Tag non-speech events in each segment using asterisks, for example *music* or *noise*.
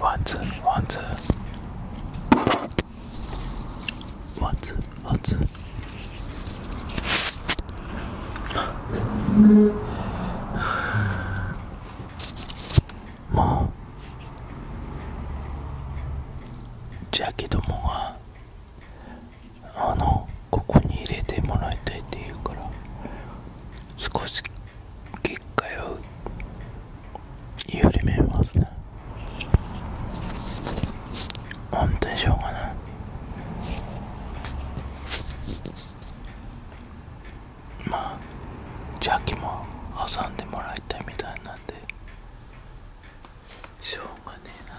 ワンツーワンツーワンツーワンツもうジャケットもはあのここに入れてもらいたいって言うから少し結界を緩めますね本当にしょうがないまあ邪気も挟んでもらいたいみたいなんでしょうがねえな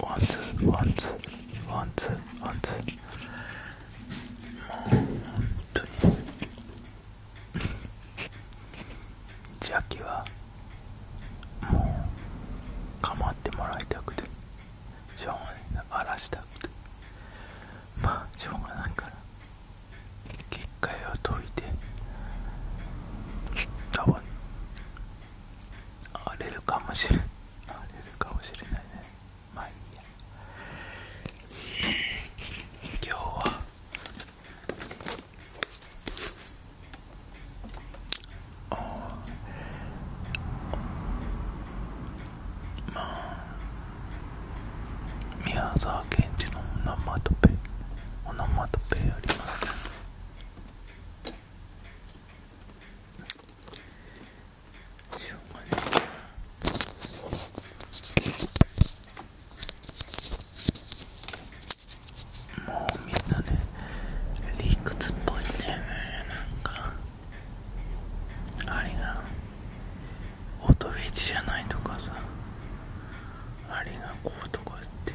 ワンツーワンツーワンツーワンツーもう本当にジャキはもう構ってもらいたくてしょうがないな荒らしたくてまあしょうがないから結界を解いて多分荒れるかもしれない荒れるかもしれないねまあいいや今日はあまあ宮沢賢治のオナマトペオナマトペありますねしょもうみんなね理屈っぽいんだよねなんかあれがオートウェッジじゃないとかさあれがこうとかって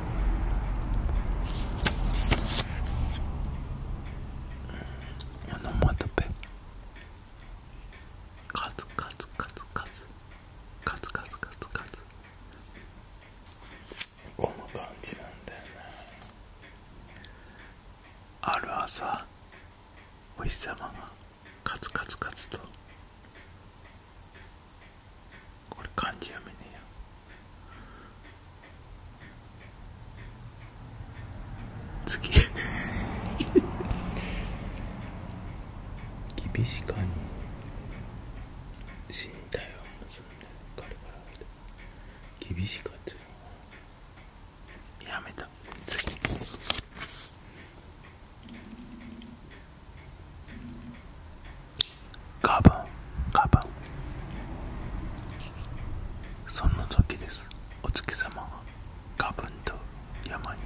オノマトペカツカツカツカツカツカツカツカツこの感じなんだよねある朝お日様がカツカツカツとこれ漢字やめねえや次厳しかに死にたいを結んで軽々厳しかってうのやめた次花粉、花粉。バンその時ですお月様が花粉と山に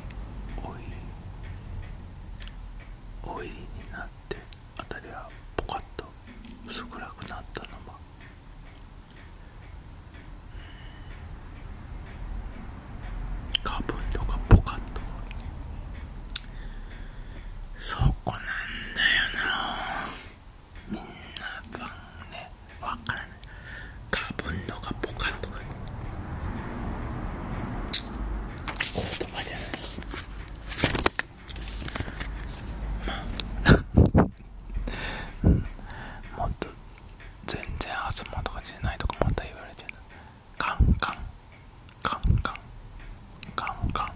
お入りお入りになってあたりはポカッと薄暗くなったのは花粉とかポカッとそこなんだよなみんながねわからないかぶんのがポカンとか言葉じゃないまあもっと全然東とかしゃないとかまた言われてるカンカンカンカンカンカン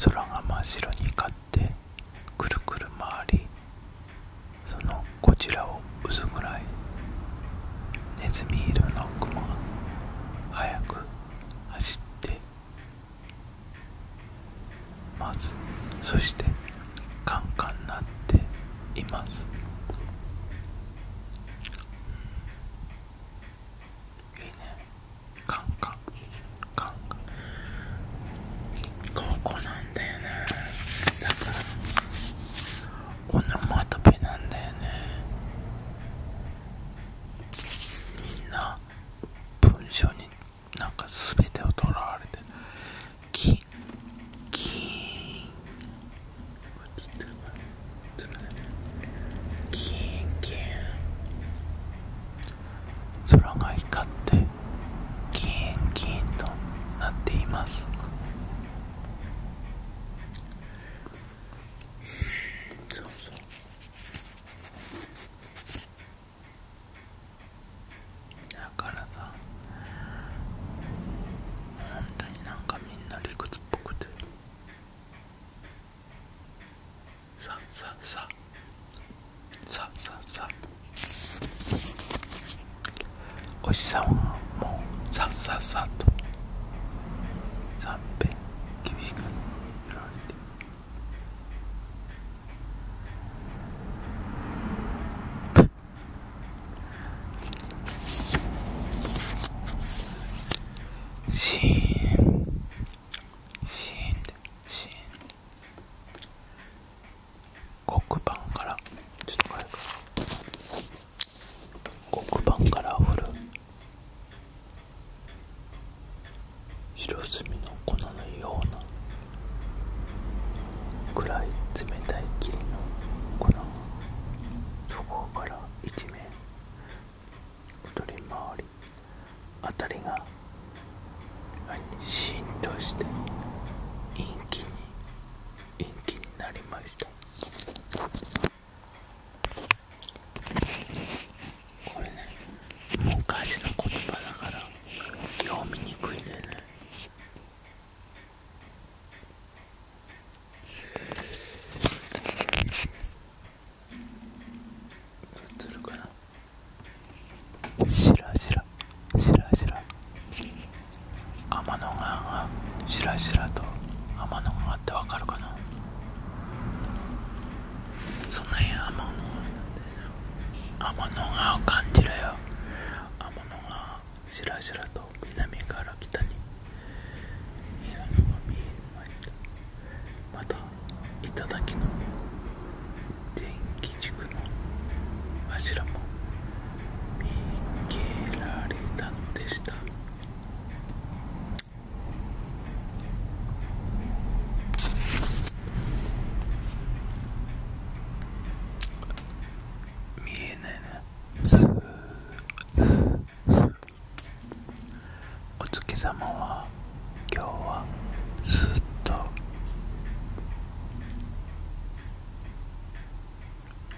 空が真っ白に光ってくるくる回りそのこちらを薄暗いネズミ色の雲が速く走ってまずそしてカンカンになっていますいいねカンカンカンカンここなんだよねだからオノマトペなんだよねみんな文章になんかすべてをとらわれてキンキンキンキン空が光ってキンキンとなっていますそうそうだからさ本当になんかみんな理屈っぽくて。ささささささおじさんはもうさささと三遍厳しく揺られてシーシーンでシーン黒板からちょっとこれ黒板から降る白墨の粉のような暗い冷たい霧の粉そこから一面太り回りあたりが浸透して陰気に陰気になりましたこれね昔の言葉だから読みにくいんだよね映るかなしらしらしらしら天の川がしらしらと天の川ってわかるかなその辺天の川なんだ天の川を感じるよ天の川しらしらと南から北にまたただ、頂の電気軸の柱も見受けられたのでした見えないな。お月様は今日はす。っと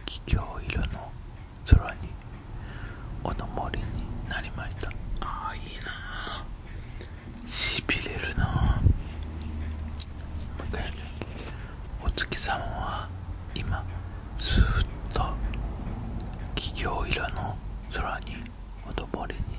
桔梗色の空におのぼりになりましたああいいなしびれるなもう一お月様は今す。っと桔梗色の空におのぼりに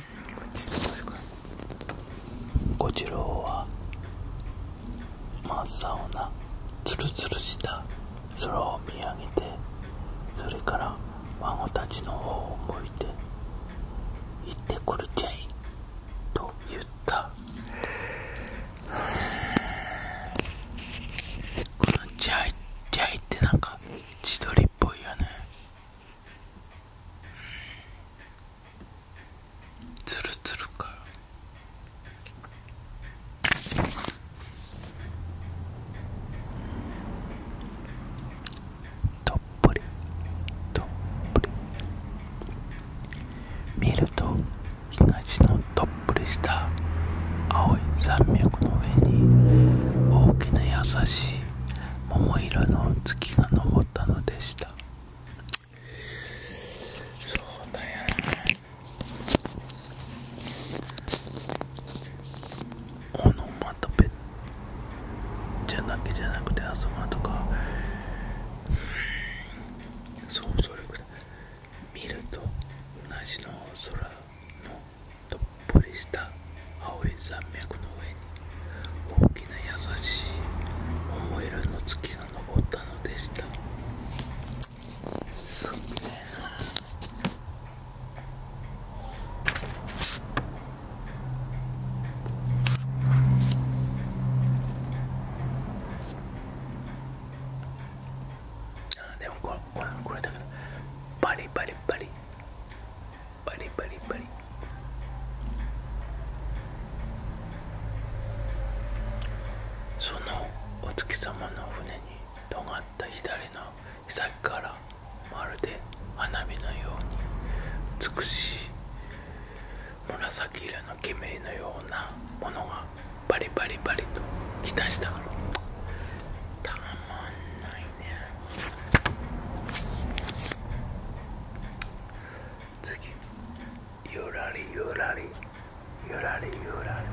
小次郎は真っ青なツルツルした空を見上げてそれから孫たちの方を向いて「行ってくるちゃい」と言った「く *laughs* るちゃい」「ちゃい」ってなんか千鳥っぽいよねツルツルかとっぷりとっぷり見ると東のとっぷりした青い山脈の上に大きな優しい桃色の月が昇ったのでしたそうだよねオノマトペじゃだけじゃなくて朝間とか想像力だ見ると同じの空のとぽりした青い山脈の上に大きな優しい桃色の月が登ったのでしたすげえあでもこれこれこれだからパリパリパリバリバリバリそのお月様の船に尖った左の岬からまるで花火のように美しい紫色の煙のようなものがバリバリバリときたしたからたまんない次ゆらりゆらりゆらりゆらり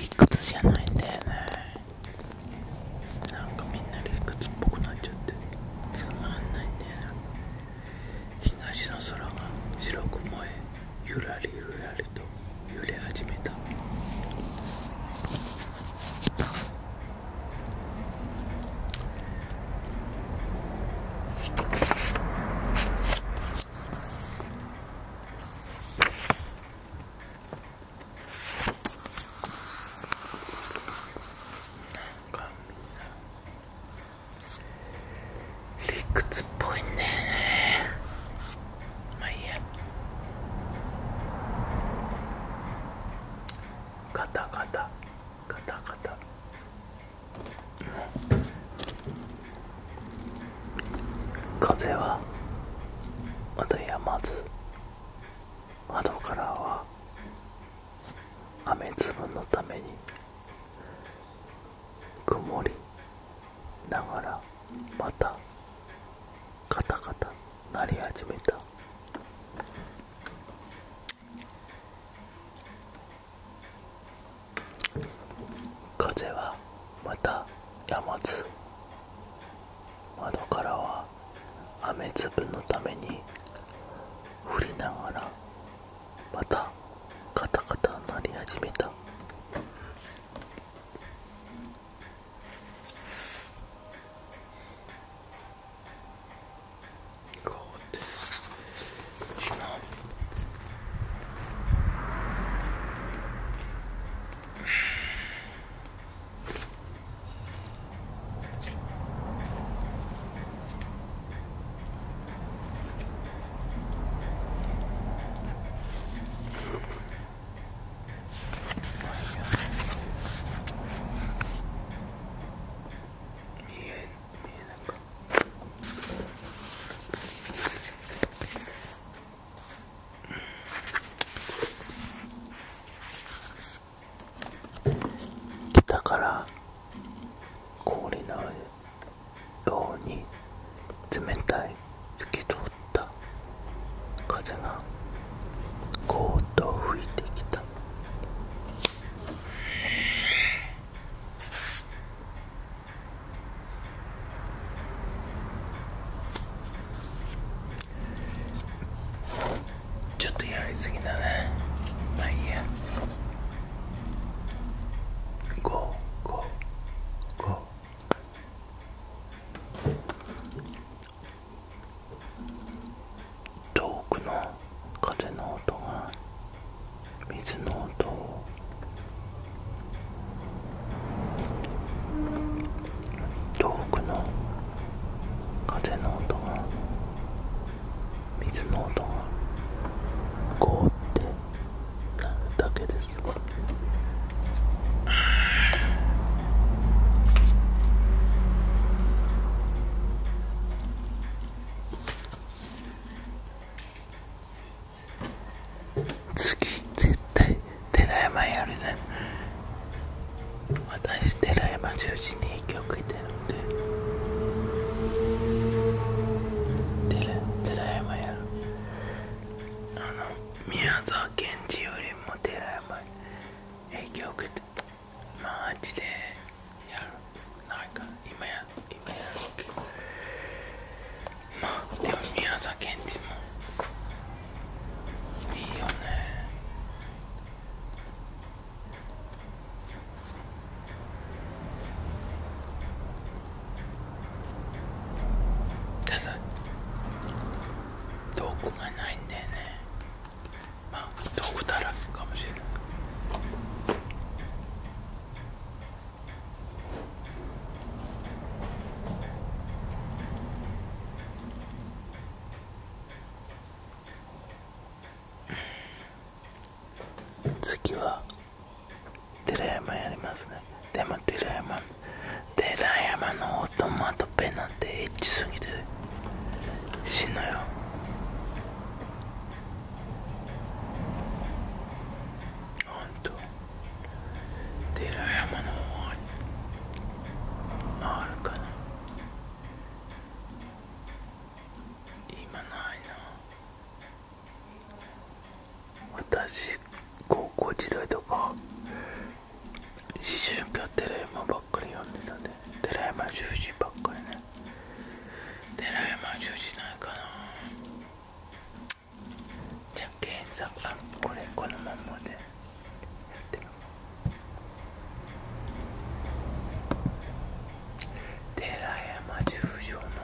理屈じゃないんだよねなんかみんな理屈っぽくなっちゃってつまんないんだよな、ね東の空が白く燃えゆらりゆらりと揺れ始めたなかみんな理屈っぽいんだよねまあいいやガタガタガタガタ風はまだやまず窓からは雨粒のために曇りながらまたカタカタ鳴り始めた風はまたやまず窓からは雨粒のために降りながらまたカタカタ鳴り始めただから氷の上よに冷たい透き通った風がゴーうと吹いてきたちょっとやりすぎだねまあいいや。五五五遠くの風の音が水の音遠くの風の音が水の音がゴってだけです次絶対寺山やるね私寺山中心に影響を受けてるんで寺山やるあの宮沢賢治よりも寺山に影響を受けてマジでやるないか今や今やるけどまあでも宮沢賢治もいいよねただ道具がないんだよねまあ道具だらけかもしれない次は寺山やりますねでも寺山寺山のオトマトペなんてエッチすぎて死ぬよほんと寺山の方にあるかな今ないな私高校時代とか思春期はテレマばっかり読んでたんでテレマ十字ばっかりねテレマ十字ないかなじゃあ検索あこれこのままでやってみよう寺山十条の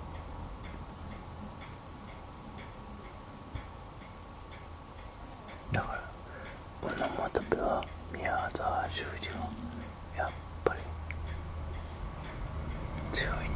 だからこのまた部は宮沢修二はやっぱり強いんだよね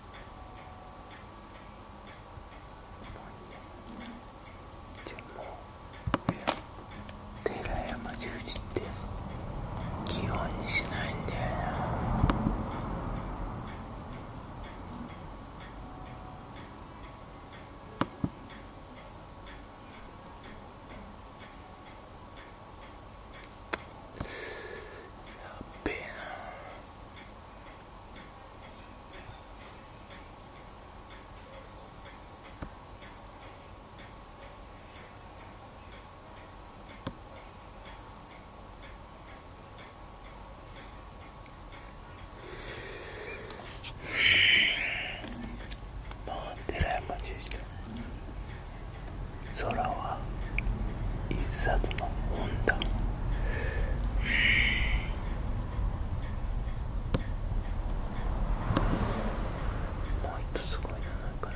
じゃあもう寺山十字って基本にしないんだよなやっべえなもう寺山中空は一冊の本だもう一つすごいのなないから。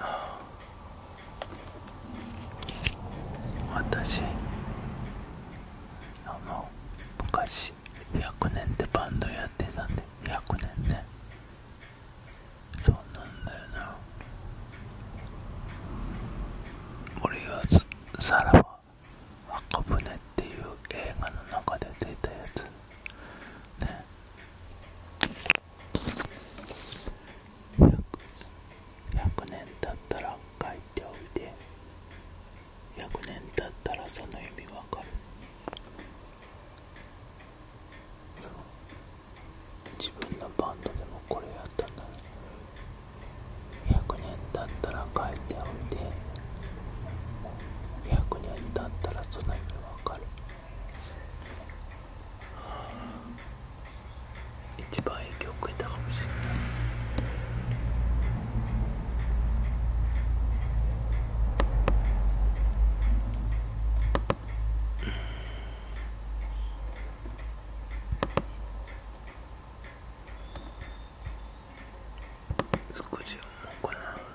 ああ。私あの昔100年ってバンドやってたんで100年ねそうなんだよな俺はさらば赤船っていう映画の中で出たやつね1 0 100年経ったら書いておいて100年経ったらその意味わかるそう自分のバンドでもこれやったんだ100年経ったら書いておいて100年経ったらその意味わかる一番影響を受けたかもしれない少し思うかな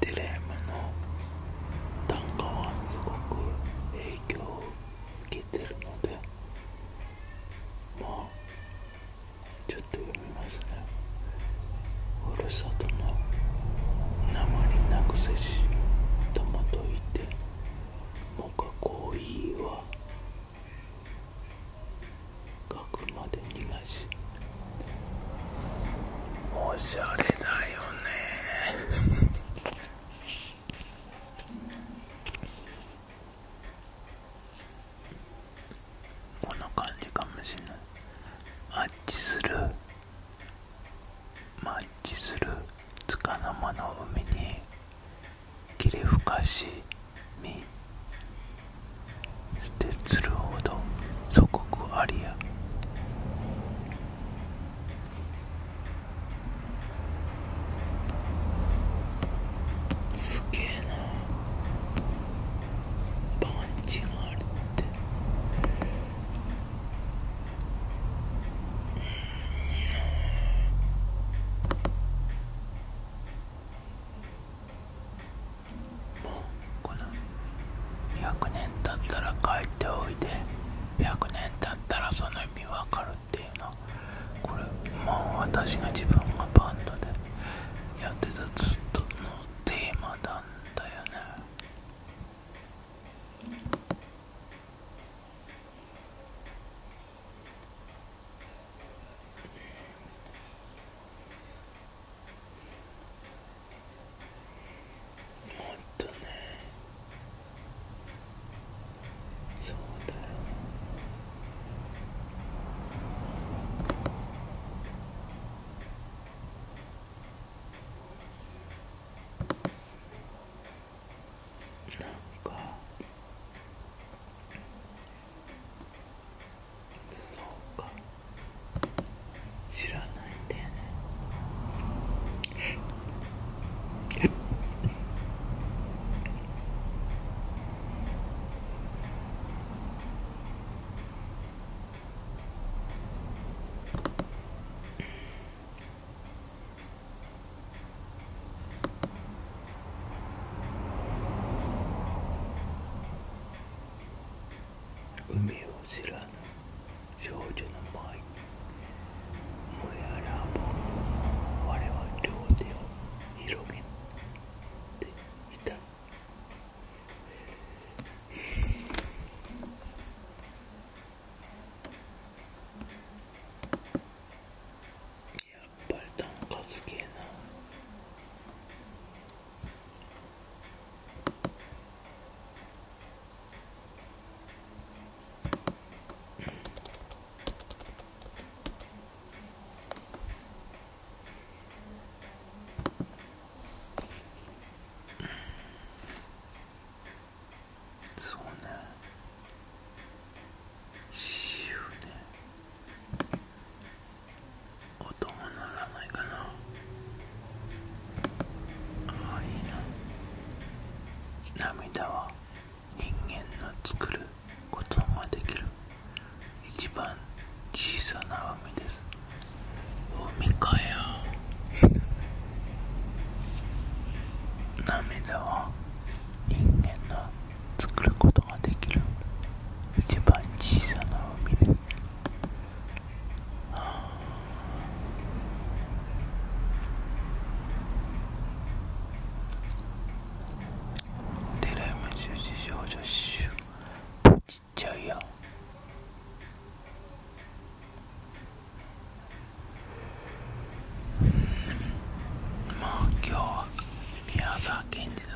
テレアムの短歌はすごく影響を受けてるのでまあちょっと読みますねふるさとの生鉛なくせしともといてもかコーヒーは額まで逃がしおしゃれだよねこの感じかもしれないマッチするマッチするつかの間の海に霧吹かしみして釣るほど祖国ありやすげえなパンチがあるってこの100年経ったら帰っておいで100年経ったらその意味わかるっていうのこれもう私が自分がバンドでやってたずっとのテーマなんだよねもっとねそうだよなんかそうか知らないんだよねうん *laughs* 海を知らぬ少女の舞燃えあらぼう我は両手を広げていたぱり単価すげえなそうねしよ音も鳴らないかなああいいな涙は人間の作ることができる一番小さな海です海かよ涙は人間の作ることができる一番小さな海です、はあ、テラム十字少女集ポチっちゃいやまあ今日は宮沢賢治の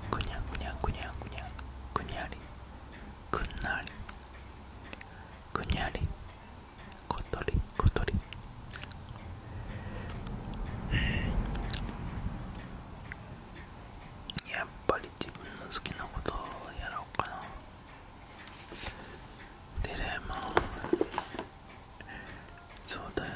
くにゃくにゃくにゃくにゃくにゃりくんなりくにゃりことりことりやっぱり自分の好きなことをやろうかなデレモンそうだよね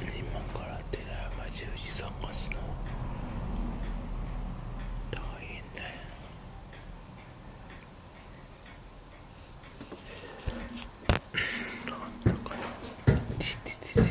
今から寺山十字さんがしの大変だよなんだかなちててて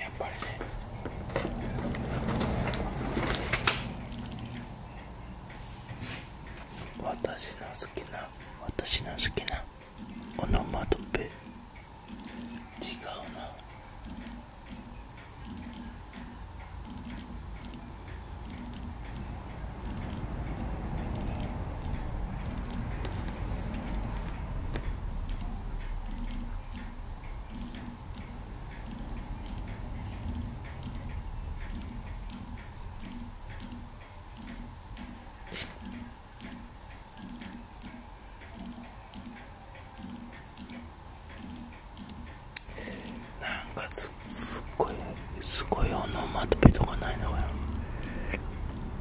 やっぱりね私の好きな私の好きなオノマトペ違うななんかすっごいすごいオノマトペとかないのか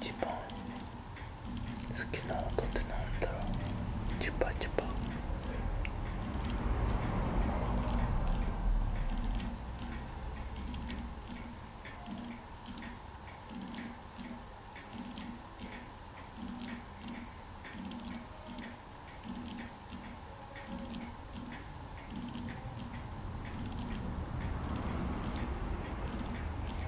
一番好きな音ってなんだろうュパチュパ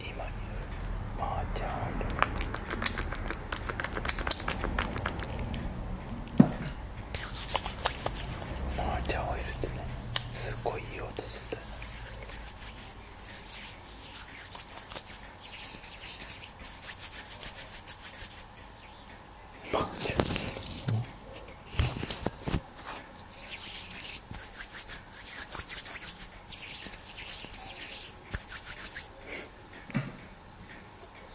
今にマーチャンオイルマージャンオイルってねすっごいいい音するんだよな。マージャン、うん、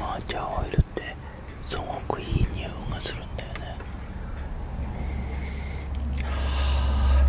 マーチャーオイルってすごくいい匂いがするんだよねあ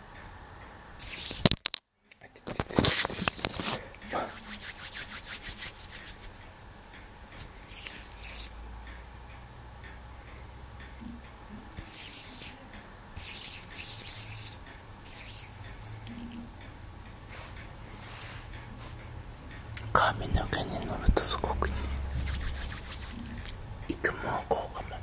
髪の毛に乗るとすごくいい育毛効果まで